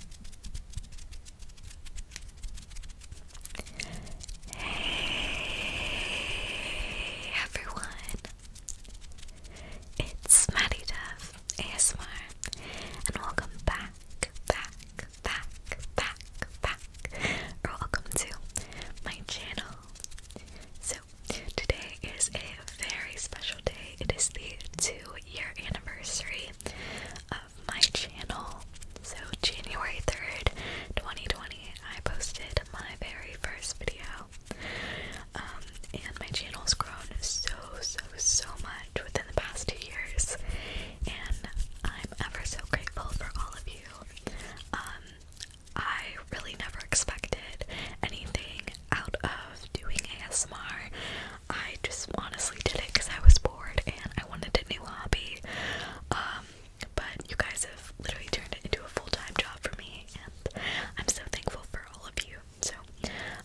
Hey everyone, it's Maddie Dove ASMR, and welcome back, back, back, back, back, or welcome to my channel. So today is a very special day. It is the two-year anniversary of my channel. So, January 3rd, 2020, I posted my very first video. Um, and my channel has grown so, so, so much within the past two years. And I'm ever so grateful for all of you. Um, I really never expected anything out of doing ASMR. I just honestly did it because I was bored and I wanted a new hobby. Um, but you guys have literally turned it into a full-time job for me, and I'm so thankful for all of you. So,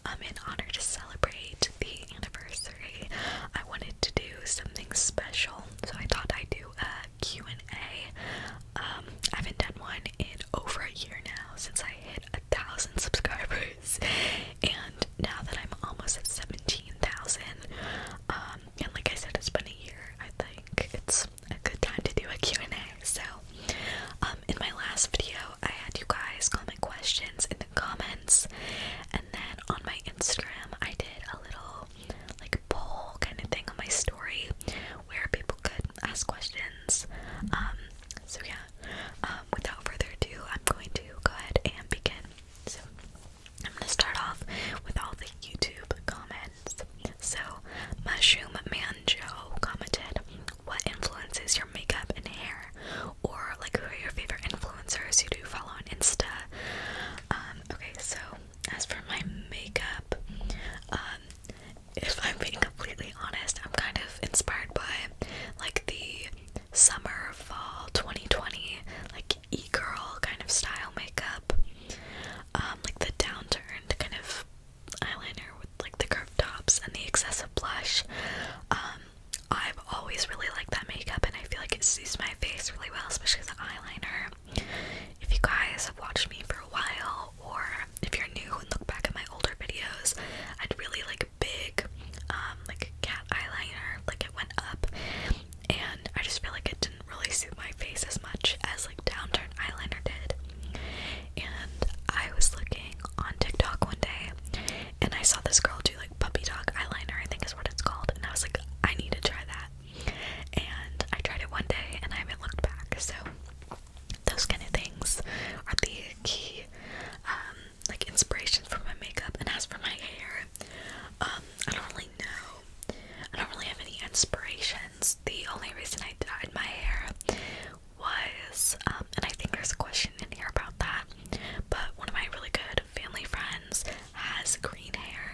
I'm um, in honor to celebrate the anniversary, I wanted to do something special. So I thought I'd do a Q and A. Um, I haven't done one in over a year now since I hit a thousand subscribers, and now that I'm almost at 17,000, um, and like I said, it's been a year, I think it's a good time to do a Q&A, so, um, in my last video, I had you guys comment questions in the comments, and then on my Instagram, I did a little, like, poll kind of thing on my story, where people could ask questions, um, so yeah, um, without further ado, I'm going to go ahead and begin. So I'm gonna start off with all the YouTube comments. So Mushroom Manjo commented, "What influences your makeup and hair, or like who are your favorite influencers you do follow on Insta?" Um, okay, so as for my makeup, um, if I'm being completely honest, I'm kind of inspired by like the summer, fall 2020, like e girl kind of style makeup. Um, like the downturned kind of eyeliner with like the curved tops and the excessive blush. Um, I've always really liked that makeup and I feel like it suits my face really well, especially as an eyeliner. If you guys have watched me for a while or if you're new and look back at my older videos, I'd really like big um, like cat eyeliner like it went up and I just feel like it didn't really suit my face as much as like downturn eyeliner did and I was looking on TikTok one day and I saw this girl do like puppy dog eyeliner I think is what it's called and I was like I need to try that and I tried it one day and I haven't looked back so those kind of things are the key um, like inspiration for my makeup and as for my hair um I don't really know I don't really have any inspirations the only reason I dyed my hair was um, and I think there's a question in here about that but one of my really good family friends has green hair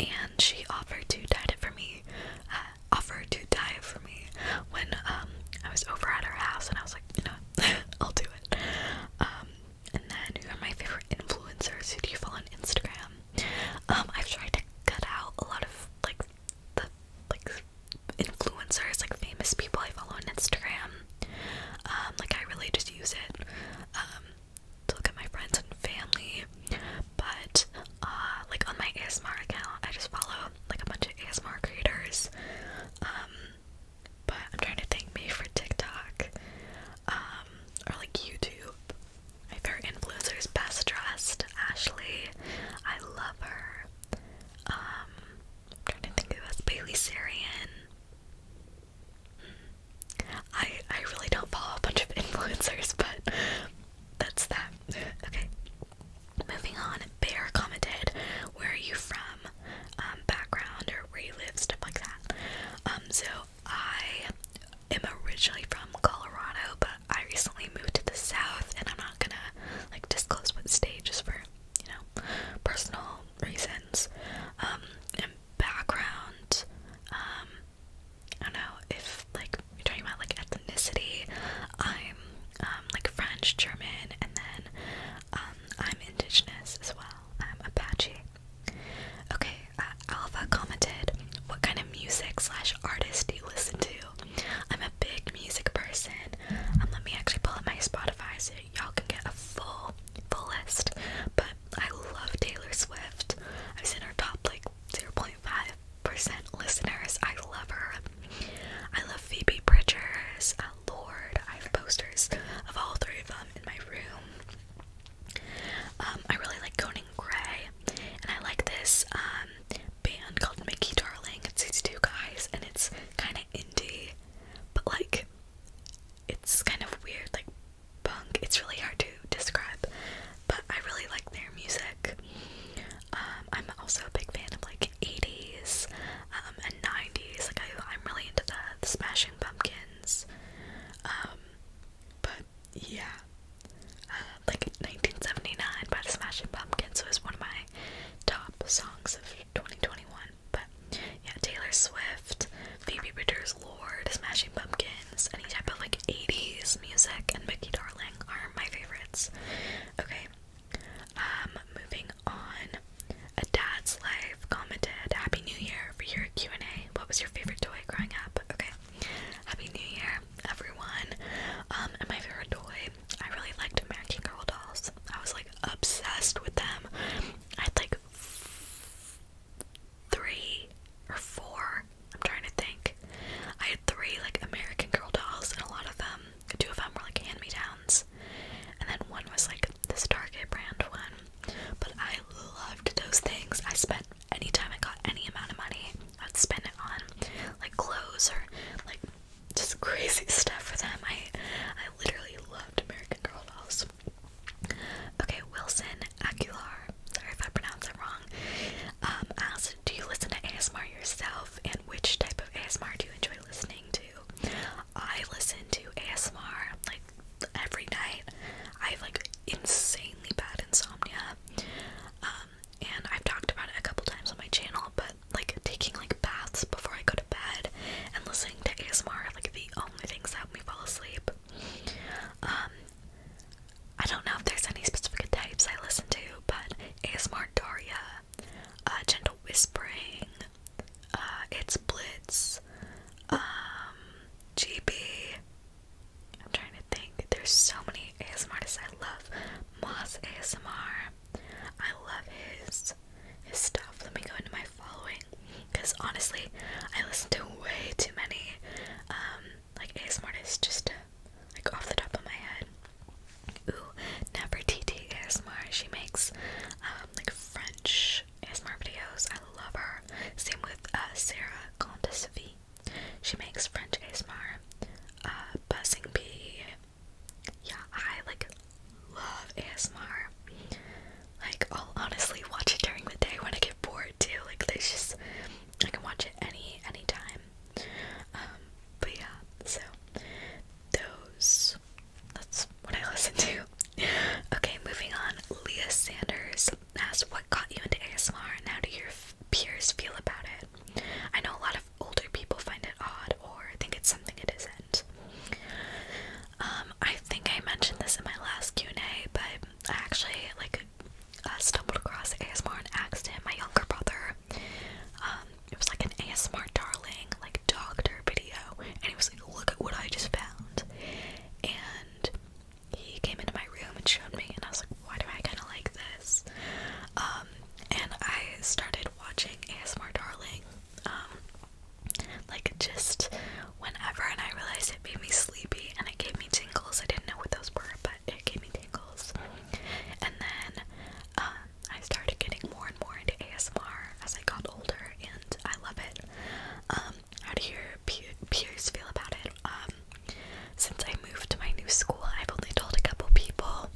and she offered to dye it for me uh, offered to dye it for me when um I was over at her house and I was like you know I'll do it. Um, and then who are my favorite influencers? Who do you follow on Instagram? Um, I've tried to cut out a lot of like the like influencers, like famous people I follow on Instagram. Um, like I really just use it to look at my friends and family. But uh, like on my ASMR account I just follow like a bunch of ASMR creators but I'm trying to thank me for TikTok, um, or like YouTube. My favorite influencer is Best Dressed Ashley. I love her. Um, i trying to think who else. Bailey Sarian. I I really don't follow a bunch of influencers, but that's that. Okay. Moving on, Bear commented, Where are you from? Um, um, background or where you live, stuff like that. Um, so I am originally from Colorado, but I recently moved to the South, and I'm not gonna like disclose what state just for you know personal reasons um, and background. Um, I don't know if like you're talking about like ethnicity. I'm like French, German, and then um, I'm indigenous as well. I'm Apache. Okay, uh, Alva commented, "What kind of music slash artist do you listen to?" I'm a big music person. Um, let me actually pull up my Spotify so y'all can get a full, full list. But I love Taylor Swift. I was in her top like 0.5 percent listeners. I love her. I love Phoebe Bridgers lord. I have posters of all three of them in my room. Um, I really like Conan Gray, and I like this um, band called Mickey Darling. It's these two guys, and it's kind of indie, but like it's kind of weird, like punk. It's really hard to describe, but I really like their music. Um, I'm also a big fan of like 80s um, and 90s. Like, I, am really into the, the Smashing Pumpkins. Um, but yeah, uh, like 1979 by the Smashing Pumpkins was one of my top songs of 2021. But yeah, Taylor Swift, Phoebe Bridgers' Lord, Smashing Pumpkins, any type of like 80s music, and Mickey Darling are my favorites. Okay, um, moving on. A dad's life commented, Happy New Year for your Q&A. What was your favorite toy growing up? Okay. Happy New Year, everyone. Um, and my favorite toy, I really liked American Girl dolls. I was like obsessed with them. I had like three or four. I'm trying to think. I had three like American Girl dolls, and a lot of them um, two of them were like hand-me-downs, and then one was like this Target brand one. But I loved those things. I spent anytime I got any amount of money, I'd spend it on like clothes or like just crazy stuff for them. I I literally loved American Girl dolls. Okay, Wilson Aguilar. Sorry if I pronounced it wrong. Um, asked, do you listen to ASMR yourself, and which type of ASMR do you enjoy listening to? I listen to ASMR like every night. I have like insanely bad insomnia. Um, and I've talked about it a couple times on my channel, but like taking like baths before I go to bed and listening to ASMR like the only things that help me fall asleep. Um, I don't know if there's any specific types I listen to, but ASMR Doria, uh, gentle whispering, uh, it's Blitz, um, GB. I'm trying to think. There's so many ASMRs. I love. Moss ASMR. I love his his stuff. Let me go into my following because honestly, I listen to way too many um, like ASMR artists just like off the top of my head. Ooh, Nefertiti ASMR. She makes um, like French ASMR videos. I love her. Same with uh, Sarah Condesavie. She makes French ASMR. Uh, Buzzing Bee. Yeah, I like love ASMR. Like, I'll honestly watch it during the day when I get bored too. Like, there's just I can watch it any any time. Um, but yeah, so those that's what I listen to. Okay, moving on. Leah Sanders asks, "What got you into ASMR, and how do your peers feel about it?" I know a lot of older people find it odd or think it's something it isn't. Um, I think I mentioned this in my last Q and A, but I actually like uh, stumbled across ASMR and asked him, my younger brother. Um, it was like an ASMR darling, like doctor video, and he was like, Look at what I just found. And he came into my room and showed me, and I was like, Why do I kind of like this? Um, and I started watching ASMR Darling, um, like just whenever, and I realized it made me sleepy and it gave me tingles. I didn't know what those were, but it gave me tingles. And then, um, I started getting more and more into ASMR as I got older, and I love it. Um, how do your peers feel about it? Um, since I moved to my new school, I've only told a couple people,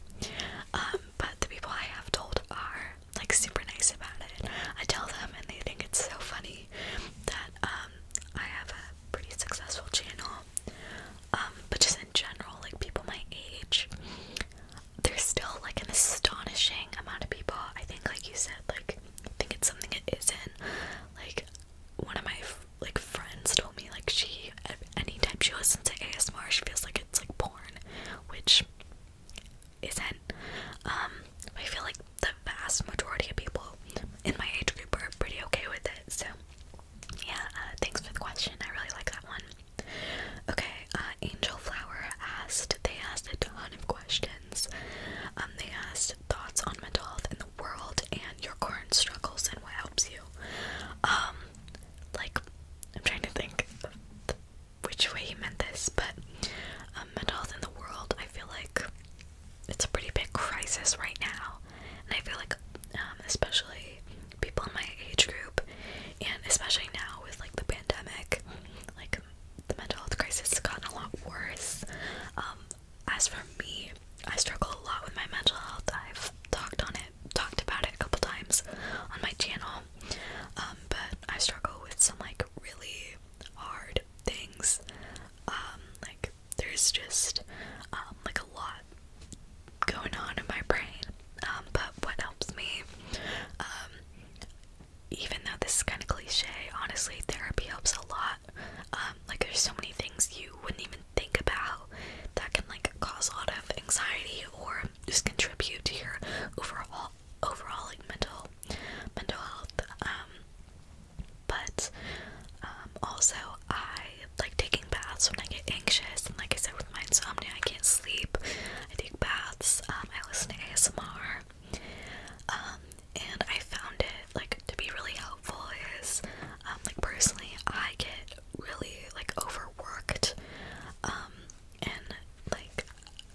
um, but the people I have told are like super nice about it. I tell them, and they think it's so funny that I have a pretty successful channel. but just in general, like people my age, there's still like an astonishing amount of people. I think, like you said, like I think it's something it isn't. Like one of my like friends told me, like she anytime she listens to ASMR, she feels like it's like porn, which isn't. Um, I feel like the vast majority of people in my age group are pretty okay with it. So yeah, uh, thanks for the question. I really like that one. Okay, uh, Angel Flower asked, they asked a ton of questions. Um, they asked thoughts on mental health in the world and your current struggles and what helps you. Um, like, I'm trying to think which way he meant this, but um, mental health in the world, I feel like it's a pretty big crisis right now. And I feel like, um, especially people in my age group, and especially now with like the pandemic, like the mental health crisis has gotten a lot worse. Um, as for me, I struggle a lot with my mental health. I've talked on it, talked about it a couple times on my channel, um, but I struggle with some like really hard things. Um, like there's just um, like a lot going on in my brain. Um, but what helps me, um, even though this is kind of cliche, honestly, therapy helps a lot. Um, like there's so many things you wouldn't even think about that can like cause a lot of anxiety or just contribute to your overall overall like mental mental health. but also I like taking baths when I get anxious, and like I said with with my insomnia. I can't sleep. I take baths. Um, I listen to ASMR. Um, and I found it like to be really helpful. Is um, like personally, I get really like overworked. Um, and like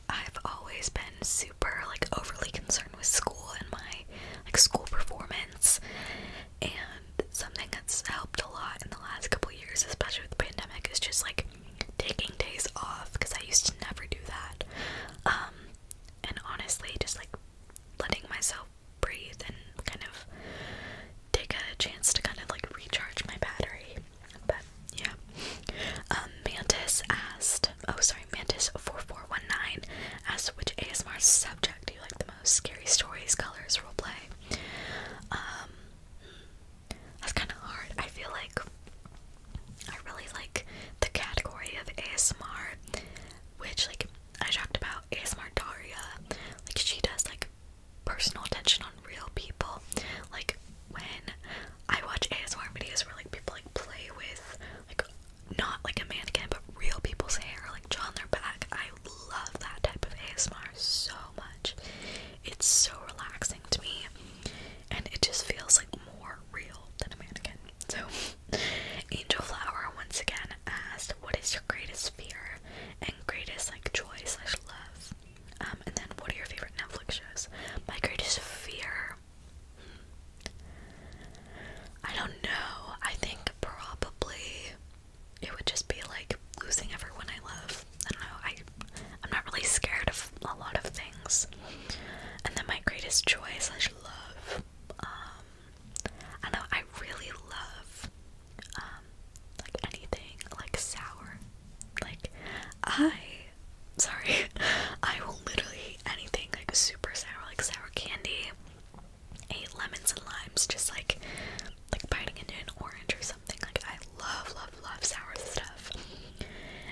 I've always been super like overly concerned with school and my like school performance. And something that's helped a lot in the last couple years, especially with the pandemic, is just like taking days off because I used to never do that. Um, and honestly, just like letting myself breathe and kind of take a chance to kind of like recharge my battery. But yeah. Um, Mantis asked, oh sorry, Mantis4419 asked which ASMR subject do you like the most? Scary stories, colors, role play. Um, hmm. That's kind of hard. I feel like I really like the category of ASMR, which like I talked about ASMR Daria. Like she does like personal attention on real people. Like when I watch ASMR videos where like people like play with like not like a mannequin but real people's hair, like draw on their back. I love that type of ASMR so much. It's so relaxing to me, and it just feels like more real than a mannequin. So, Angel Flower once again asked, "What is your greatest fear and greatest like joy slash love?" Um, and then, "What are your favorite Netflix shows?" My greatest fear. Hmm, I don't know. I think probably it would just be like losing everyone I love. I don't know. I I'm not really scared of a lot of things. And then my greatest joy is love. Um, I know. I really love um, like anything like sour. Like I sorry I will literally eat anything like super sour like sour candy. lemons and limes just like like biting into an orange or something. Like I love, love, love sour stuff.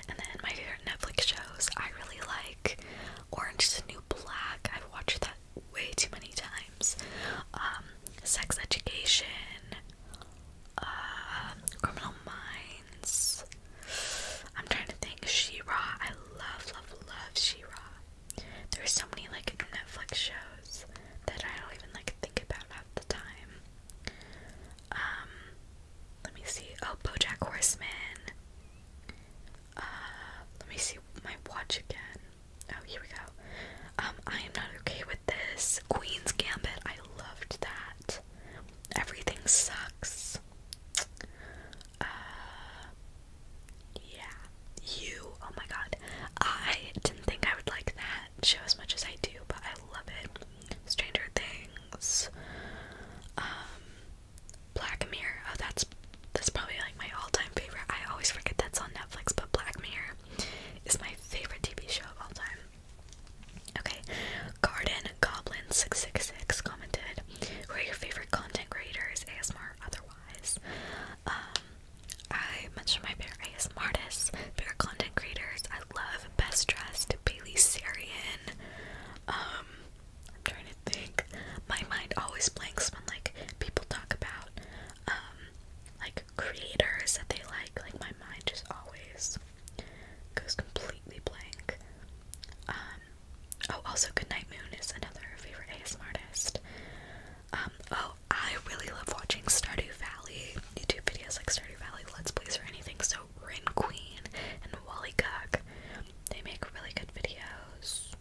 And then my favorite Netflix shows, I really like Orange is the New Black. I've watched that way too many times. Um, Sex Education, uh, Criminal Minds. I'm trying to think. Shira, I love, love, love Shira. There's so many like Netflix shows that I don't even like think about at the time. Um, let me see. Oh, BoJack Horseman. Uh, let me see my watch again. Oh, here we go. Um, I am not okay with this. Queen's Gambit. I loved that. Everything sucks. Uh, yeah. You. Oh my god. I didn't think I would like that show as much as I do, but I love it. Stranger Things, um, Black Mirror. Oh, that's that's probably like my all-time favorite. I always forget that's on Netflix, but Black Mirror is my favorite TV show of all time. Okay, Garden Goblin six six six commented, "Who are your favorite content creators, ASMR otherwise?" Um, I mentioned my favorite ASMR artists, favorite content creators. I love Best Dressed, Bailey Sarian. Um, I'm trying to think. My mind always blanks when like people talk about um like creators that they like. Like my mind just always goes completely blank. Um oh also Goodnight Moon is another favorite ASMR artist. Um oh I really love watching Stardew Valley YouTube videos like Stardew Valley Let's Plays or anything. So Rin Queen and Wally Cook, they make really good videos.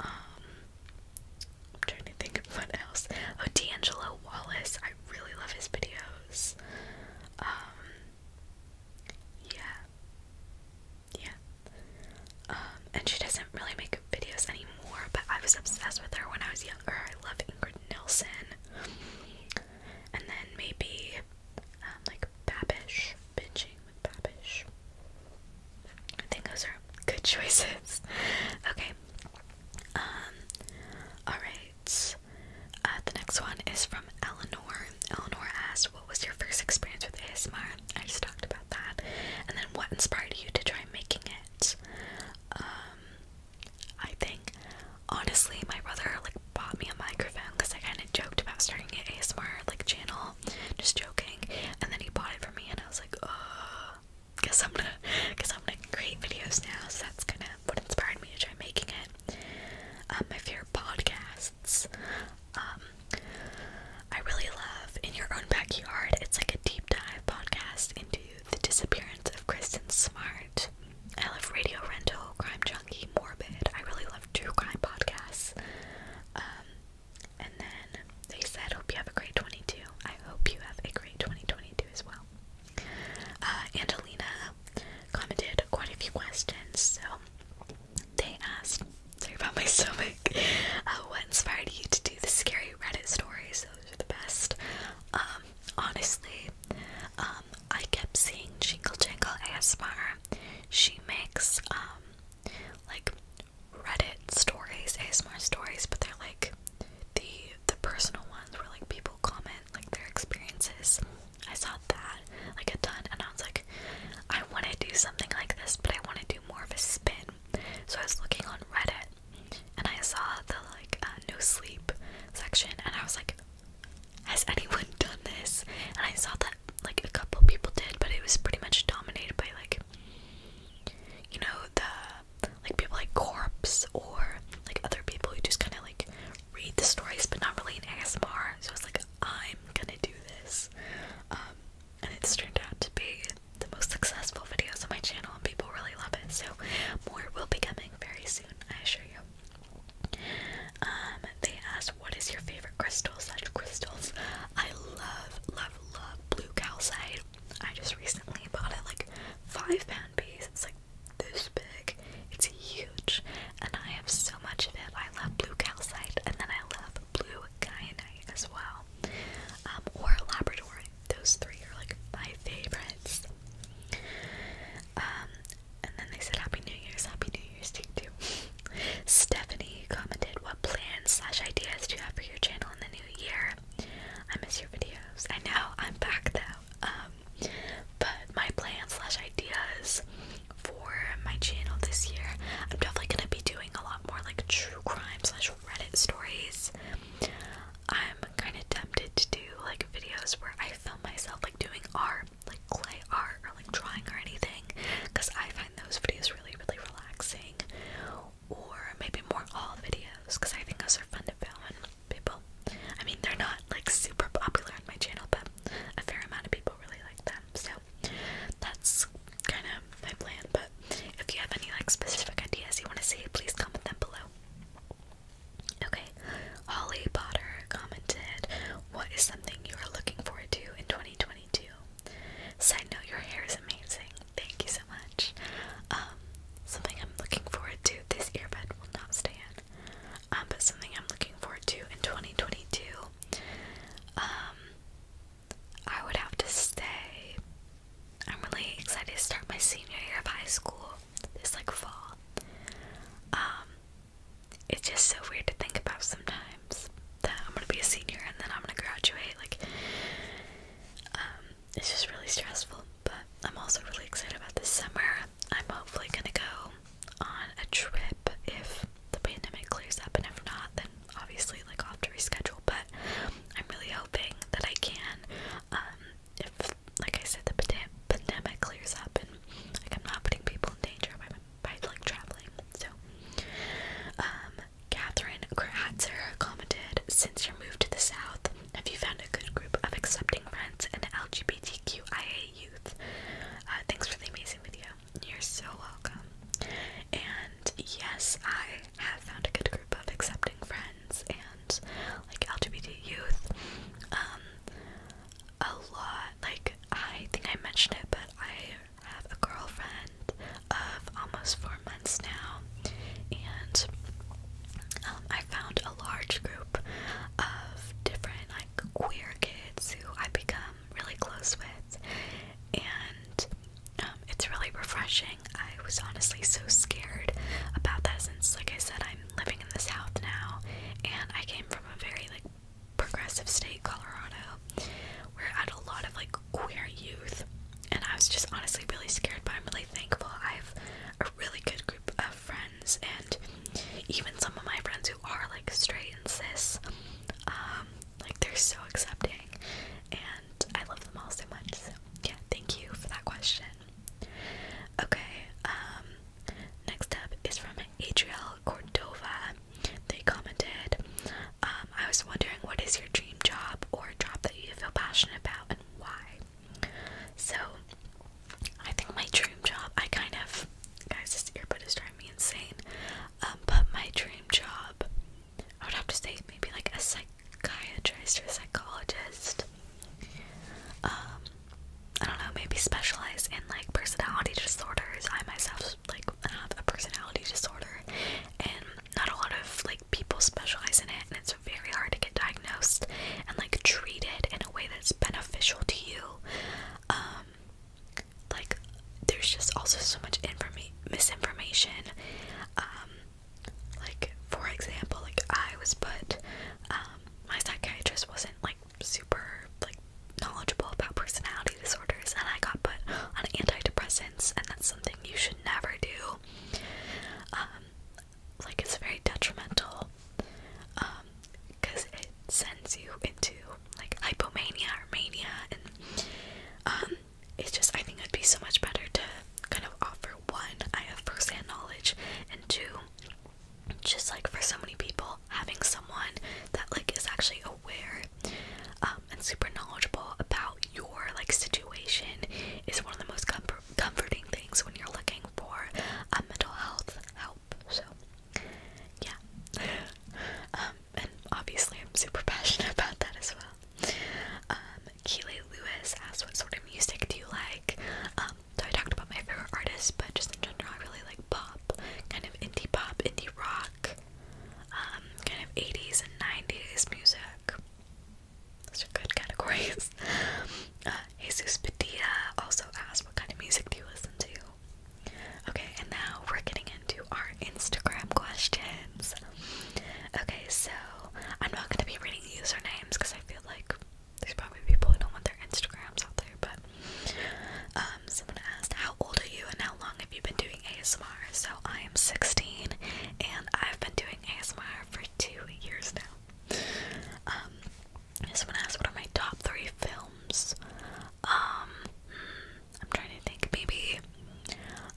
Um, I'm trying to think of what else. Oh, D'Angelo Wallace, I really love his videos. Um, yeah, yeah. Um, and she doesn't really make videos anymore, but I was obsessed with her when I was younger. I love Ingrid Nilsson. And then maybe um, like Babish, binging with Babish. I think those are good choices. Okay. Um alright. Uh, the next one is from Eleanor. Eleanor asked, What was your first experience with ASMR? I just talked about that. And then what inspired you to try making it? Um I think. Honestly, my brother like bought me a microphone because I kind of joked about starting an ASMR like channel, just joking. And then he bought it for me, and I was like, oh, guess I'm gonna, guess I'm gonna create videos now. So that's kind of what inspired me to try making it. Um, my favorite podcasts. Um, I really love In Your Own Backyard. It's like a deep dive podcast into the disappearance of Kristen Smart. I love Radio Rental, Crime Junkie, Morbid. I really love true crime podcasts. Um, and then they said, Hope you have a great 22. I hope you have a great 2022 as well. Uh, Angelina commented quite a few questions, so they asked, sorry about my stomach, uh, what inspired you to do the scary Reddit stories?" the best. Um, honestly, um, I kept seeing Jingle Jingle Asmar. She makes um, like Reddit stories, Asmar stories, but they're like the the personal ones where like people comment like their experiences. I saw that like a ton, and I was like, I want to do something like this, but I want to do more of a spin. So I was looking on Reddit, and I saw the like uh, no sleep section, and I was like, "Has anyone done this?" And I saw that like a couple people did, but it was pretty much dominated by like, you know, the like people like Corpse or like other people who just kind of like read the stories, but not really in ASMR. So I was like, "I'm gonna do this," um, and it's turned out to be the most successful videos on my channel and people really love it. So more will be coming very soon, I assure you. Um, they asked what is your favorite crystal such crystals? I love, love, love blue calcite. I just recently bought it like five pound piece. It's like this big. It's huge. And I have so much of it. I love blue calcite and then I love blue kyanite as well. Um, or laboratory those three are like my favorites. Um, and then they said Happy New Year's, Happy New Year's to you Stephanie commented, What plans slash ideas do you have for your channel in the new year? I miss your videos. I know, I'm back though. Um, but my plans slash ideas for my channel this year, I'm definitely gonna be doing a lot more like true crime slash Reddit stories. I'm kind of tempted to do like videos where I film myself like doing art, like clay art or like drawing or anything, because I find those videos really, really relaxing. Or maybe more all videos, because I think those are fun to film and people. I mean, they're not like super popular on my channel, but a fair amount of people really like them. So that's kind of my plan if you have any like specific ideas you want to see, please comment them below. Okay, Holly Potter commented, What is something you are looking forward to in 2022? Side note, your hair is amazing. Thank you so much. Um, something I'm looking forward to, this earbud will not stay in. Um, but something I'm looking forward to in 2022, um, I would have to say I'm really excited to start my senior year of high school this like fall. Um, it's just so weird to think about sometimes that I'm gonna be a senior and then I'm gonna graduate. Like, um, it's just really stressful. But I'm also really excited about this summer. I'm hopefully gonna go on a trip if the pandemic clears up, and if not, then obviously like I'll have to reschedule. But I'm really hoping that I can. Um, if, like I said, the pandemic clears up and like I'm not putting people in danger by, like traveling. So, um, Catherine Kratzer commented, "Since your move to the South, have you found a good group of accepting friends and LGBTQIA youth?" Uh, thanks for the amazing video. You're so welcome. And yes, I have found a good group of accepting friends and like LGBT youth. Um, a lot, like, I think I mentioned it, but I have a girlfriend of almost four months now, and um, I found a large group of different, like, queer kids who I become really close with, and um, it's really refreshing. I was honestly so scared about that since, like I said, I'm living in the South now, and I came from a very like progressive state, Colorado, where I had a lot of like queer youth, and I was just honestly really scared. But I'm really thankful. I have a really good group of friends, and even some of my friends who are like straight and cis, um, like they're so accepting, and I love them all so much. So yeah, thank you for that question. Okay, um, next up is from Adrielle Cordova. They commented, um, I was wondering what is your dream job or job that you feel passionate about and why? So I think my dream job, I kind of guys this earbud is driving me insane. Um, but my dream job I would have to say maybe like a psychiatrist or a psychologist. Um, I don't know, maybe specialize in like personality disorders. I myself like have a personality disorder, and not a lot of like people specialize in it, and it's very hard to get diagnosed and like treated in a way that's beneficial to you. Um, like there's just also so much informa misinformation um, like for example, like I was put um my psychiatrist wasn't like super like knowledgeable about personality disorders and I got put on antidepressants and that's something you should never do. Um like it's very detrimental um because it sends you into like hypomania or mania and um it's just I think it'd be so much better to kind of offer one, I have first knowledge, and two, just like for so many people, having someone that like is actually aware um, and super knowledgeable about your like situation is one of the most comfort comforting things when you're looking for a mental health help. So yeah, um, and obviously I'm super passionate about that as well. Um, Lewis asked, What sort of music do you like? Um, so I talked about my favorite artists, but just in general, I really like pop, kind of indie pop, indie rock, um, kind of 80s and 90s music. Those are good categories. Uh, Jesus Padilla also asked, What kind of music do you listen to? Okay, and now we're getting into our Instagram questions. Okay, so I'm not going to be reading usernames because I feel like there's probably people who don't want their Instagrams out there, but um, someone asked, How old are you and how long have you been doing ASMR? So I am 16 and I've been doing ASMR for two years now. Um, someone asked, What are my top three films? Um, hmm, I'm trying to think, maybe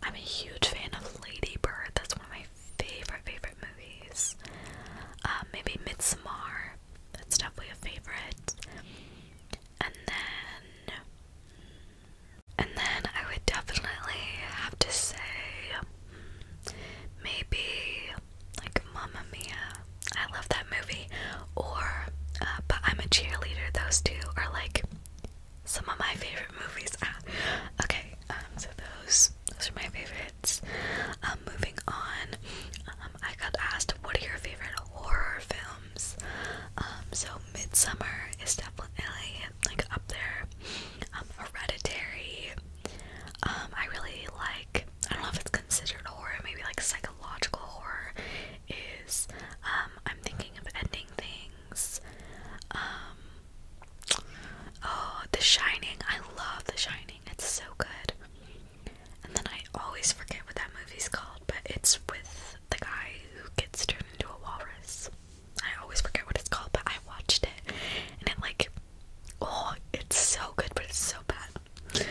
I'm a huge fan of Lady Bird. That's one of my favorite, favorite movies. Um, maybe Midsommar. That's definitely a favorite. And then, and then I would definitely have to say maybe like Mamma Mia. I love that movie. Or, uh, but I'm a cheerleader. Those two are like some of my favorite movies. Ah, okay, um, so those those are my favorites. Um, moving on, um, I got asked what are your favorite horror films? Um, so Midsummer is definitely like up there. Um, Hereditary. I really like. I don't know if it's considered horror. Maybe like psychological horror is. I'm thinking of ending thing. Um, oh, The Shining. I love The Shining. It's so good. And then I always forget what that movie's called, but it's with the guy who gets turned into a walrus. I always forget what it's called, but I watched it and it like oh it's so good but it's so bad.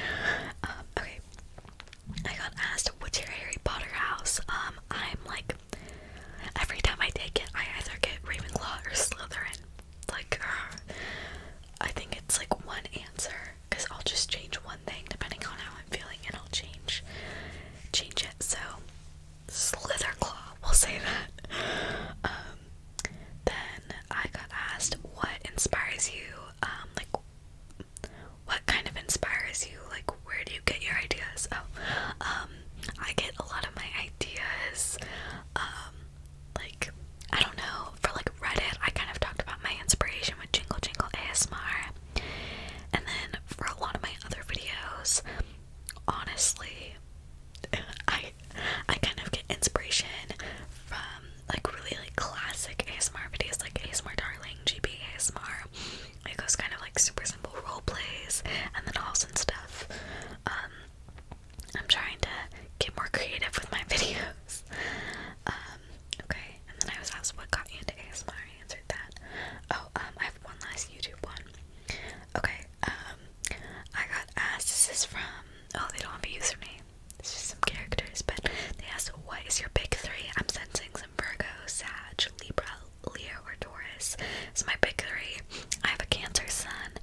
Um, okay. I got asked what's your Harry Potter house? Um, I'm like every time I take it, I either get Ravenclaw or Slytherin. Like, uh, I think it's like one answer because I'll just change one thing depending on how I'm feeling, and I'll change change it. So, Slitherclaw, we'll say that. Um, then I got asked what inspires you, um, like what kind of inspires you, like where do you get your ideas? Oh, um, I get a lot of my ideas, um, like I don't know, for like Reddit, I kind of talked about my inspiration with Jingle Jingle ASMR, and then for a lot of my other videos, honestly, I I kind of get inspiration from like really like classic ASMR videos, like ASMR Darling, GB ASMR it goes kind of like super simple role plays and then halls and stuff. Um, I'm trying to get more creative with my videos. Um, okay, and then I was asked what got you into ASMR. I answered that. Oh, um, I have one last YouTube one. Okay, um, I got asked. This is from. Oh, they don't have a username. It's just some characters, but they asked, "What is your big three? I'm sensing some Virgo, Sag, Libra, Leo or Taurus is my big three. I have a Cancer Sun,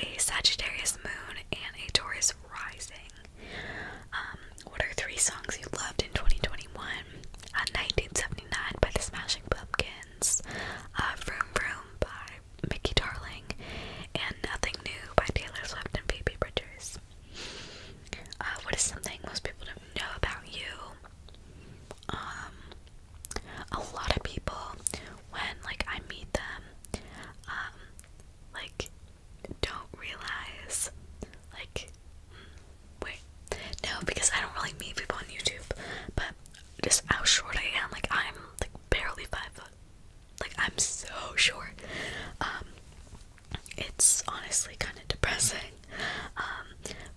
a Sagittarius Moon, and a Taurus Rising. Um, what are three songs you loved in 2021? 1979 uh, by the Smashing Pumpkins, uh, Vroom by Mickey Darling, and Nothing New by Taylor Swift and Phoebe Bridgers. Uh, what is something most people don't know about you? um a lot of people when like I meet them um like don't realize like mm, wait no because I don't really meet people on YouTube but just how short I am like I'm like barely five like I'm so short um it's honestly kind of depressing um,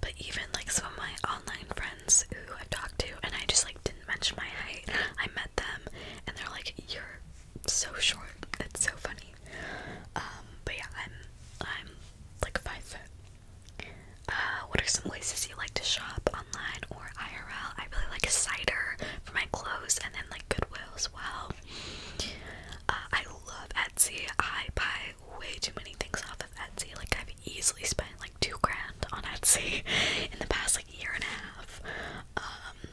but even like some of my online friends who I've talked to, and I just like didn't mention my height, I met them and they're like, You're so short. It's so funny. Um, but yeah, I'm I'm like five foot. Uh, what are some places you like to shop online or IRL? I really like cider for my clothes and then like Goodwill as well. Uh, I love Etsy. I buy way too many things off of Etsy. Like I've easily spent like two grand on Etsy in the past like year and a half. Um,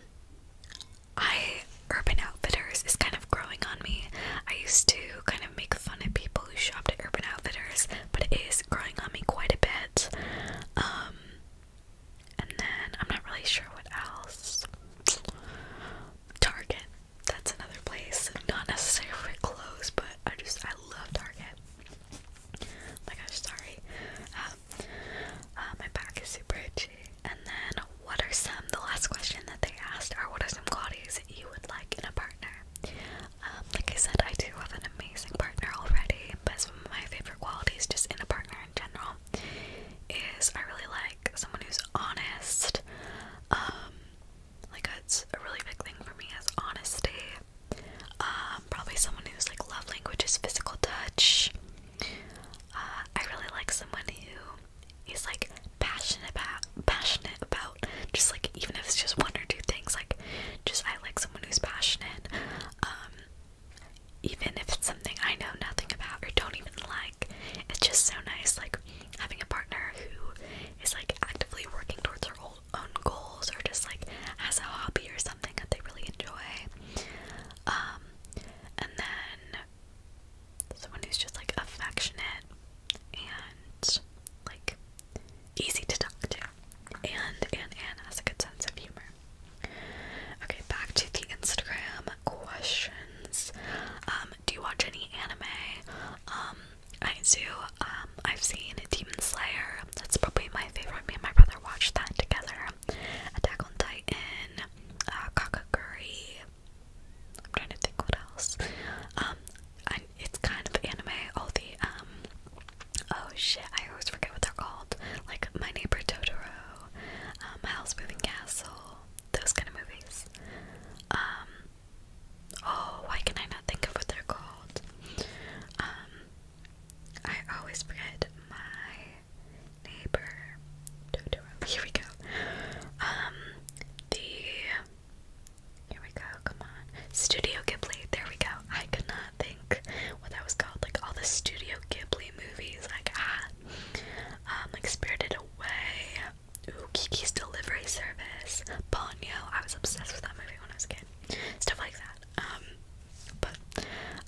I Urban Outfitters is kind of growing on me. I used to kind of make fun of people who shopped at Urban Outfitters, but it is growing on me quite a bit. Um and then I'm not really sure what else. Target that's another place. Not necessarily for clothes, but I just I love Target. Oh my gosh, sorry. Um, uh, my back is super itchy. And then, what are some? The last question that they asked are, what are some qualities that you would like in a partner? Um, like I said, I do have an amazing partner already, but some of my favorite qualities, just in a partner in general, is I really like someone who's honest. Um, like that's a really big thing for me is honesty. Um, probably someone who's like love language is physical touch. Uh, I really like someone who is like passionate about passionate about just like even if it's just one or two things, like just I like someone who's passionate. Um, even if it's something I know nothing about or don't even like, it's just so nice like having a partner who is like actively working towards their own goals or just like has a hobby or something that they really enjoy. Um, and then someone who's just like affectionate and like easy to talk to. And and Anne has a good sense of humor. Okay, back to the Instagram questions. Um, do you watch any anime? Um, I do. Um, I've seen Demon Slayer. That's probably my favorite. Me and my brother watched that together. Attack on Titan, uh, I'm trying to think what else. Um, it's kind of anime. All the um, oh shit, I always forget what they're called. Like My Neighbor Totoro, um, House Moving Castle, those kind of movies. Um, Oh, why can I not think of what they're called? Um, I always forget my neighbor. Here we go. Um, the here we go. Come on, Studio Ghibli. There we go. I could not think what that was called. Like all the Studio Ghibli movies. Like ah, um, like Spirited Away. Ooh, Kiki's Delivery Service, Ponyo. I was obsessed with that movie when I was a kid. Stuff like that. Um, but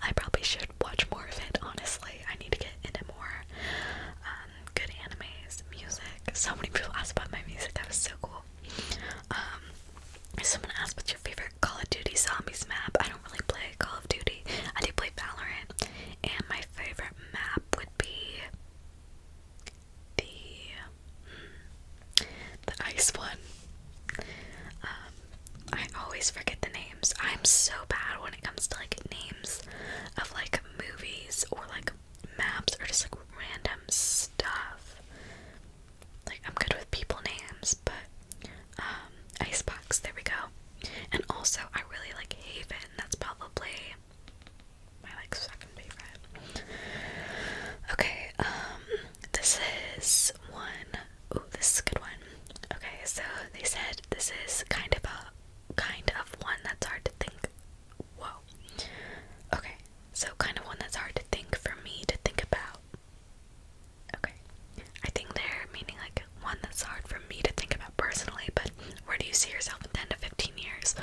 I probably should watch more of it. Honestly, I need to get into more um, good animes, music. So many people ask about my music. That was so cool. Um, someone asked what's your favorite Call of Duty Zombies map. I don't really play Call of Duty. I do play Valorant, and my favorite map would be the the ice one. Um, I always forget the names. I'm so bad when it comes to like names of like movies or like maps or just like random stuff. Like I'm good with people names, but um, Icebox. There we go. And also, I really like Haven. That's probably my like second favorite. Okay, um, this is one. Ooh, this is good one. Okay, so they said this is kind of a kind of one that's hard to think. Whoa. Okay, so kind of one that's hard to think for me to think about. Okay, I think they're meaning like one that's hard for me to think about personally, but where do you see yourself in 10 to fifteen? 15 years?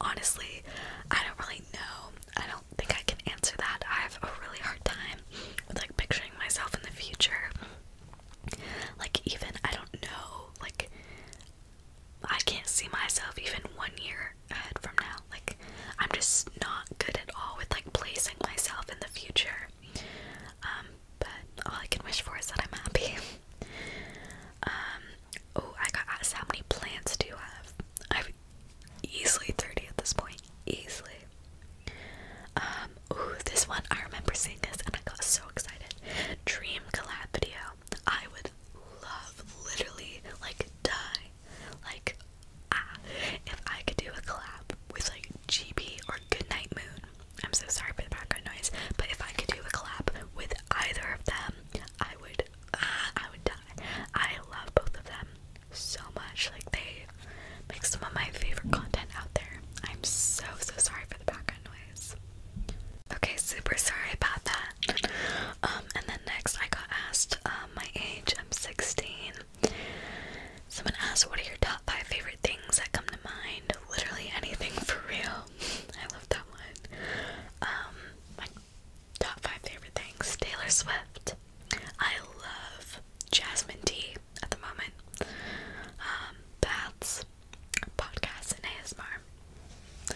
Honestly, I don't really know. I don't think I can answer that. I have a really hard time with like picturing myself in the future. Like, even I don't know, like, I can't see myself even one year ahead from now. Like, I'm just not good at all with like placing myself in the future. Um, but all I can wish for is that I'm happy. Um, Oh, I got asked how many plants do you have? I've easily 30 at this point. Easily. Um, ooh, this one I remember seeing this and I got so excited. Dream collab video. I would love literally like die. Like ah if I could do a collab with like GB or Goodnight Moon. I'm so sorry for the background noise, but if I could do a collab with either of them, I would I would die. I love both of them so much. Like they make some of my favorite content out there. I'm so so sorry for the background noise. Okay, super sorry about that. Um, and then next I got asked um, my age. I'm 16. Someone asked, "What are your top five favorite things that come to mind?" Literally anything for real. I love that one. Um, Top 5 favorite things Taylor Swift. I love Jasmine Tea at the moment. Um, that's podcast podcasts, and ASMR.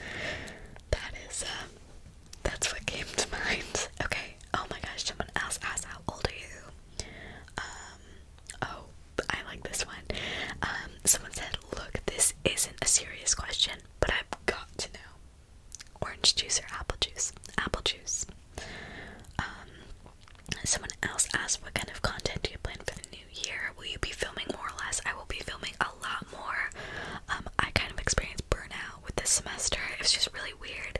That is, um, that's what came to mind. Okay, oh my gosh, someone else asked, How old are you? Um, oh, I like this one. someone said, Look, this isn't a serious question. But I've got to know orange juice or apple juice. Apple juice. Um, someone else asked, What kind of content do you plan for the new year? Will you be filming more or less? I will be filming a lot more. Um, I kind of experienced burnout with this semester. It was just really weird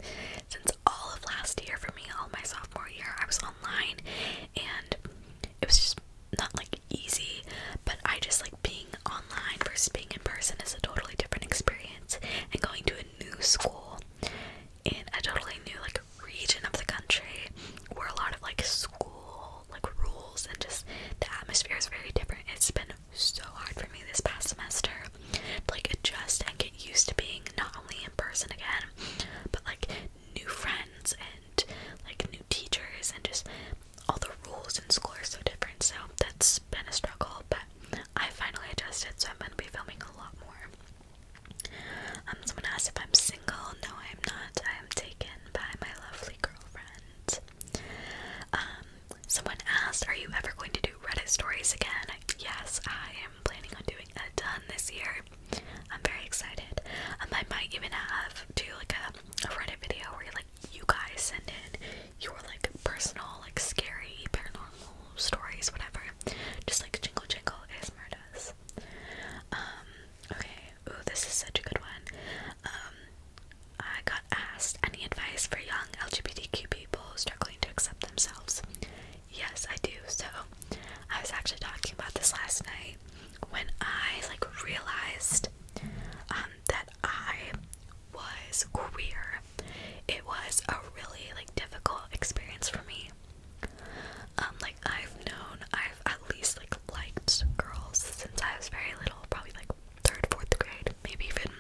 since all of last year for me, all my sophomore year, I was online and it was just not like easy, but I just like being online versus being in person is a totally different experience. And going to a new school in a totally new like region of the country where a lot of like school like rules and just the atmosphere is very different. It's been so hard for me this past semester to like adjust and get used to being not only in person again, but like new friends and and like new teachers and just all the rules in school are so different. So that's been a struggle, but I finally adjusted, so I'm gonna be filming a lot more. Um, someone asked if I'm single. No, I am not. I am taken by my lovely girlfriend. Um, someone asked, "Are you ever going to do Reddit stories again?" Yes, I am planning on doing a done this year. I'm very excited. Um, I might even have do like a, Reddit video where you like you guys send in your like personal, like scary paranormal stories, whatever. Just like jingle jingle ASMR does. Um, okay, ooh, this is such a good one. Um, I got asked any advice for young LGBTQ people struggling to accept themselves. Yes, I do. So, I was actually talking about this last night when I like realized um, that I was queer. It was a really like difficult experience for me. Um, like I've known, I've at least like liked girls since I was very little, probably like third, fourth grade, maybe even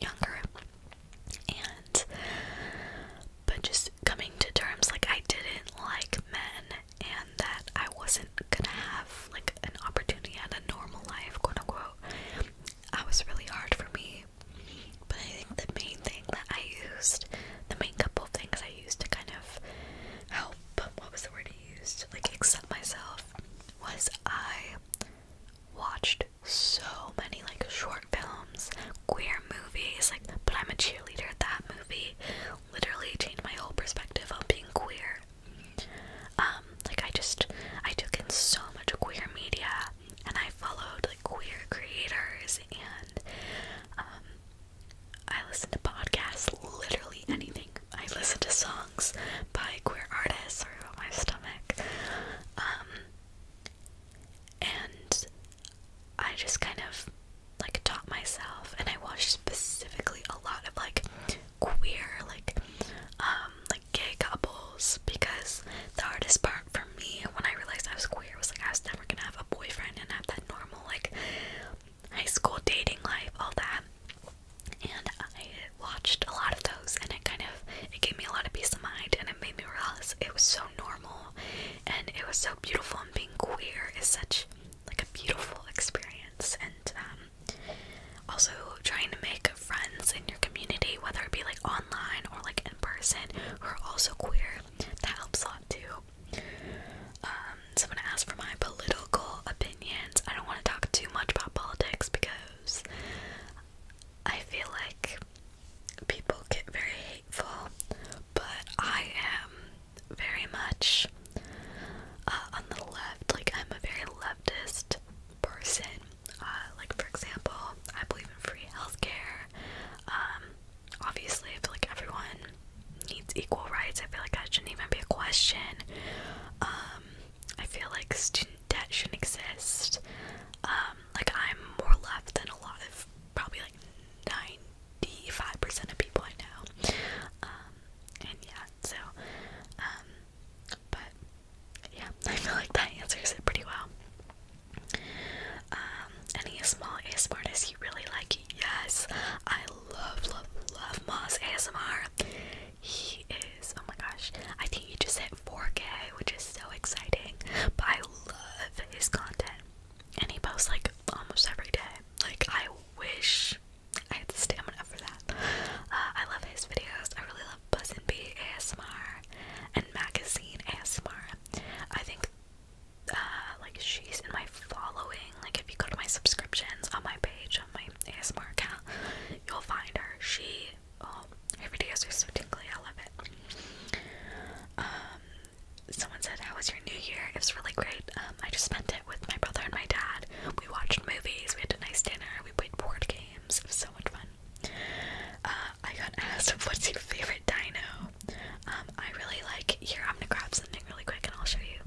younger. And but just coming to terms, like I didn't like men and that I wasn't gonna have like an opportunity and a normal life, quote unquote. That was really hard for me. But I think the main thing that I used, the main couple of things I used to kind of help, what was the word I used? Like accept myself, was I watched so many like short films, queer movies, like, but I'm a cheerleader. That movie literally changed my whole perspective on being queer. Um, like I just I took in so much queer media and I followed like queer creators and um, I listened to podcasts, literally anything. I listened to songs by queer artists or about my stomach. Um, and I just kind of like taught myself and I watched specifically a lot of like queer, like um like gay couples because the hardest part for me when I realized I was queer was like I was never gonna have a boyfriend and have that normal like high school dating life, all that. And I watched a lot of those and it kind of it gave me a lot of peace of mind and it made me realize it was so normal and it was so beautiful and being queer is such like a beautiful experience and um, also trying to make friends in your community, whether it be like online or like in person, who are also queer. That helps a lot too. Um, someone asked for my political opinions. I don't want to talk too much about politics because I feel like people get very hateful, but I am very much uh, on the left. Like, I'm a very leftist person. Uh, like, for example, I believe in free healthcare. Um, obviously, I feel like everyone needs equal rights. I feel like that shouldn't even be a question. Um, I feel like student debt shouldn't exist. Um, like, I'm more left than a lot of probably like 95% of people I know. Um, and yeah, that. So, um, but yeah, I feel like that answers it pretty well. Um, any small ASMR artist you really like? Yes, I love, love, love Moss ASMR. He is, oh my gosh, I think he just hit 4K, which is so exciting. But I love his content, and he posts like almost every day. Like, I wish I had the stamina for that. Uh, I love his videos. I really love Buzz and Bee ASMR and Magazine ASMR. I think uh, like she's in my following. Like if you go to my subscriptions on my page on my ASMR account, you'll find her. She oh her videos are so tingly. I love it. Um, someone said, "How was your New Year?" It was really great. Um, um, I just spent it with my brother and my dad. We watched movies, we had a nice dinner, we played board games. It was so much fun. Uh, I got asked, what's your favorite dino? Um, I really like, here, I'm gonna grab something really quick and I'll show you.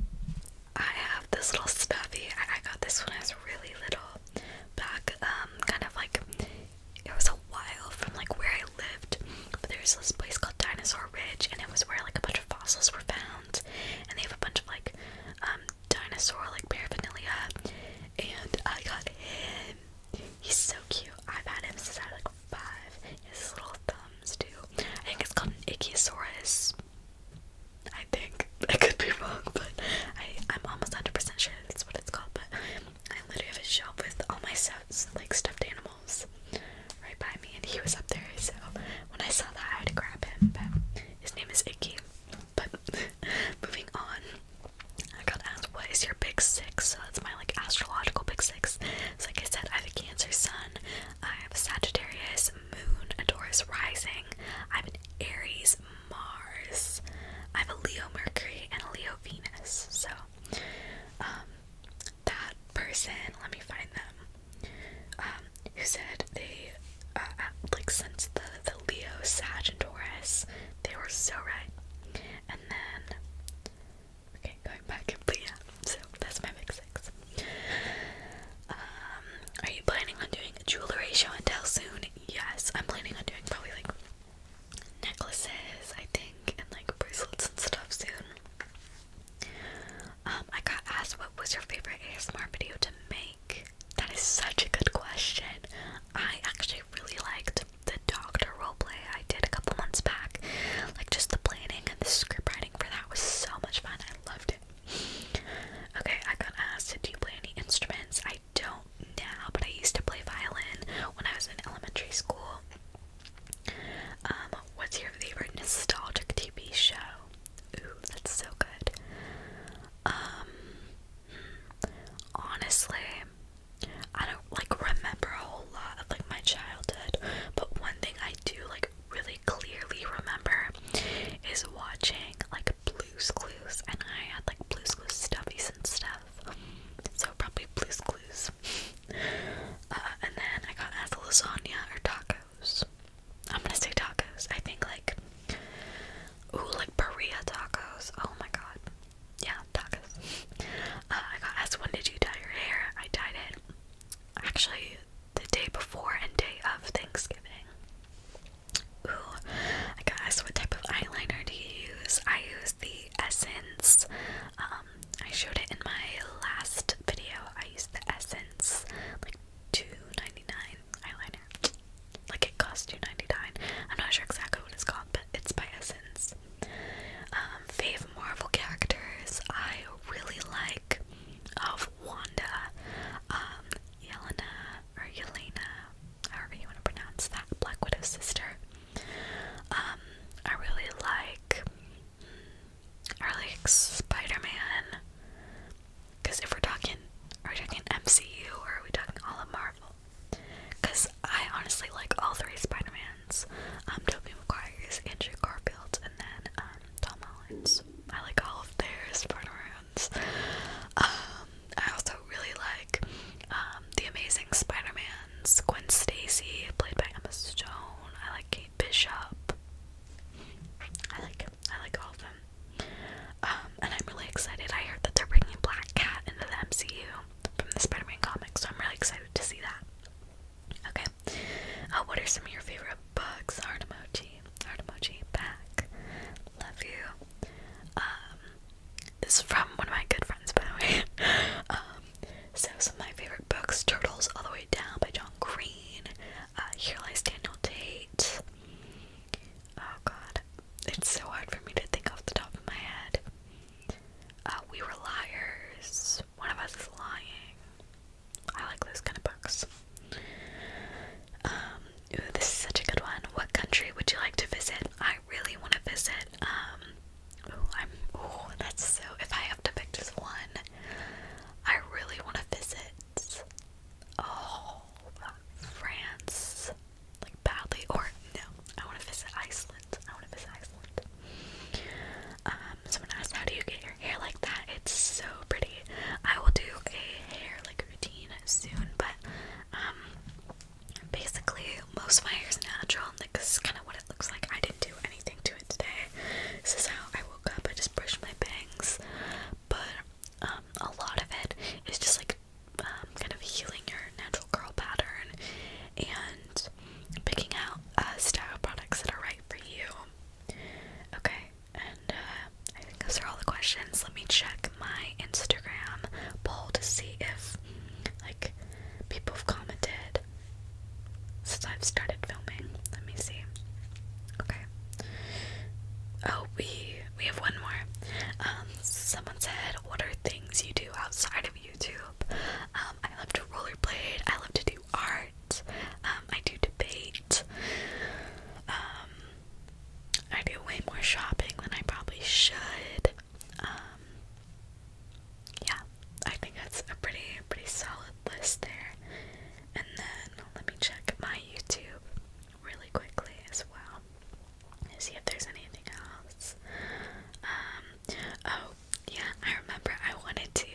I have this little stuffy. I, got this one. I was really little. Back, um, kind of like, it was a while from like where I lived. But there's this place called Dinosaur Ridge and it was where like a bunch of fossils were found and they have a bunch of like um, dinosaur like paraphernalia. And I got him. He's so cute. I've had him since I was like five. his little thumbs too. I think it's called an Ichthyosaurus. I think I could be wrong, but I I'm almost 100% sure that's what it's called. But I literally have a shelf with all my stuff, like stuffed animals right by me, and he was up there. So when I saw that, I had to grab him. But his name is Icky. But moving on, I got asked, "What is your big six? So that's my like astrological big six. So like I said, I have a Cancer Sun, I have a Sagittarius Moon, a Taurus Rising, I am an Aries Mars, I have a Leo Mercury, and a Leo Venus. So um, that person, let me find them. Um, who said they, uh, uh, like, since the, the Leo, Sagittarius, they were so right. And then, okay, going back, but yeah, so that's my big six. Um, are you planning on doing a jewelry show and tell soon? Yes, I'm planning on doing probably like necklaces, I think, and like bracelets and stuff soon. Um, I got asked what was your favorite ASMR video to make. That is such a good question. I actually really liked the doctor role play I did a couple months back. Like just the planning and the script writing for that was so much fun. I loved it. Okay, I got asked, do you play any instruments? I don't now, but I used to play violin when I was in elementary school. Um, what's your favorite nostalgic TV show? Ooh, that's so good. Um, honestly, I don't like remember a whole lot of like my childhood, but one thing I do like really clearly remember is watching like Blue's Clues, and I had like Blue's Clues stuffies and stuff, so probably Blue's Clues. Uh, and then I got asked lasagna or tacos. I'm gonna say tacos. I think like ooh, like Berea tacos. Oh my god. Yeah, tacos. Uh, I got asked when did you dye your hair? I dyed it actually the day before and day of Thanksgiving. Ooh, I got asked what type of eyeliner do you use? I use the Essence. Um, I showed it in my last video. I used the Essence, like like two ninety nine eyeliner. Like it costs two ninety nine. I'm not sure exactly what it's called, but it's by Essence. Um, fave Marvel characters I really like of Wanda, um, Yelena or Yelena, however you want to pronounce that, Black Widow's sister. Um, I really like or like Spider-Man. Because if we're talking, are we talking MCU or are we talking all of Marvel? Because I honestly like all three Spider-Mans, um, Tobey Maguire's, Andrew Garfield's, and then um, Tom Holland's. I like all of their Spider-Mans. Um, I also really like The Amazing Spider-Man's, Gwen Stacy, played by Emma Stone. I like Knight, Bishop. I like I like all of them. Um, and I'm really excited. I heard that they're bringing Black Cat into the MCU from the Spider-Man comics, so I'm really excited to see that. Okay. Uh, what are some of your favorite books? Heart emoji, heart emoji, back. Love you. Um, this is from one of my good friends, by the way. um, so some of my favorite books: Turtles All the Way Down by John Green. Uh, here Lies Daniel Tate. Oh god. It's so hard for me to think off the top of my head. Uh, we Were Liars. One of Us is Lying. I like those kind of books. Um, this is such a good one. What country would you like to visit? I really want to visit. Um, ooh, I'm. Ooh, that's so. If I to pick just one. I really want to visit. Oh, France. Like, badly. Or, no, I want to visit Iceland. I want to visit Iceland. Um, someone asked, how do you get your hair like that? It's so pretty. I will do a hair, like, routine soon, but, um, basically, most of my hair is natural, this is kind of what it looks like. I didn't do anything to it today. This is how I woke up, I just brushed my bangs. But um, a lot of it is just like um, kind of healing your natural curl pattern and picking out uh, style products that are right for you. Okay, and uh, I think those are all the questions. Let me check my Instagram poll to see if like people have commented since I've started filming. Let me see. Okay. Oh, we we have one more. Um, someone said, "What are things you do outside of YouTube?" Um, I love to rollerblade. I love to do art. Um, I do debate. Um, I do way more shopping than I probably should. Um, yeah, I think that's a pretty pretty solid list there. And then let me check my YouTube really quickly as well. See if there's anything else. Um, oh, yeah, I remember I wanted to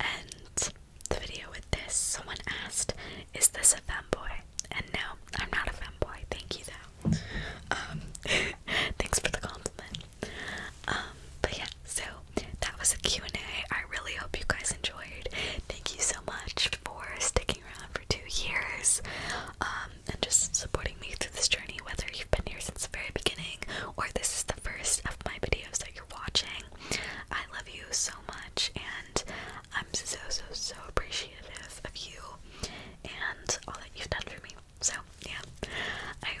end the video with this. Someone asked, Is this a femboy? And no, I'm not a femboy. Thank you, though. Um, thanks for the compliment. Um, but yeah, so that was a Q&A. I really hope you guys enjoyed. Thank you so much for sticking around for two years um, and just supporting me through this journey, whether you've been here since the very beginning or this is the first of my videos that you're watching. I love you so much and I'm so, so, so appreciative of you and all that you've done for me. So, yeah, I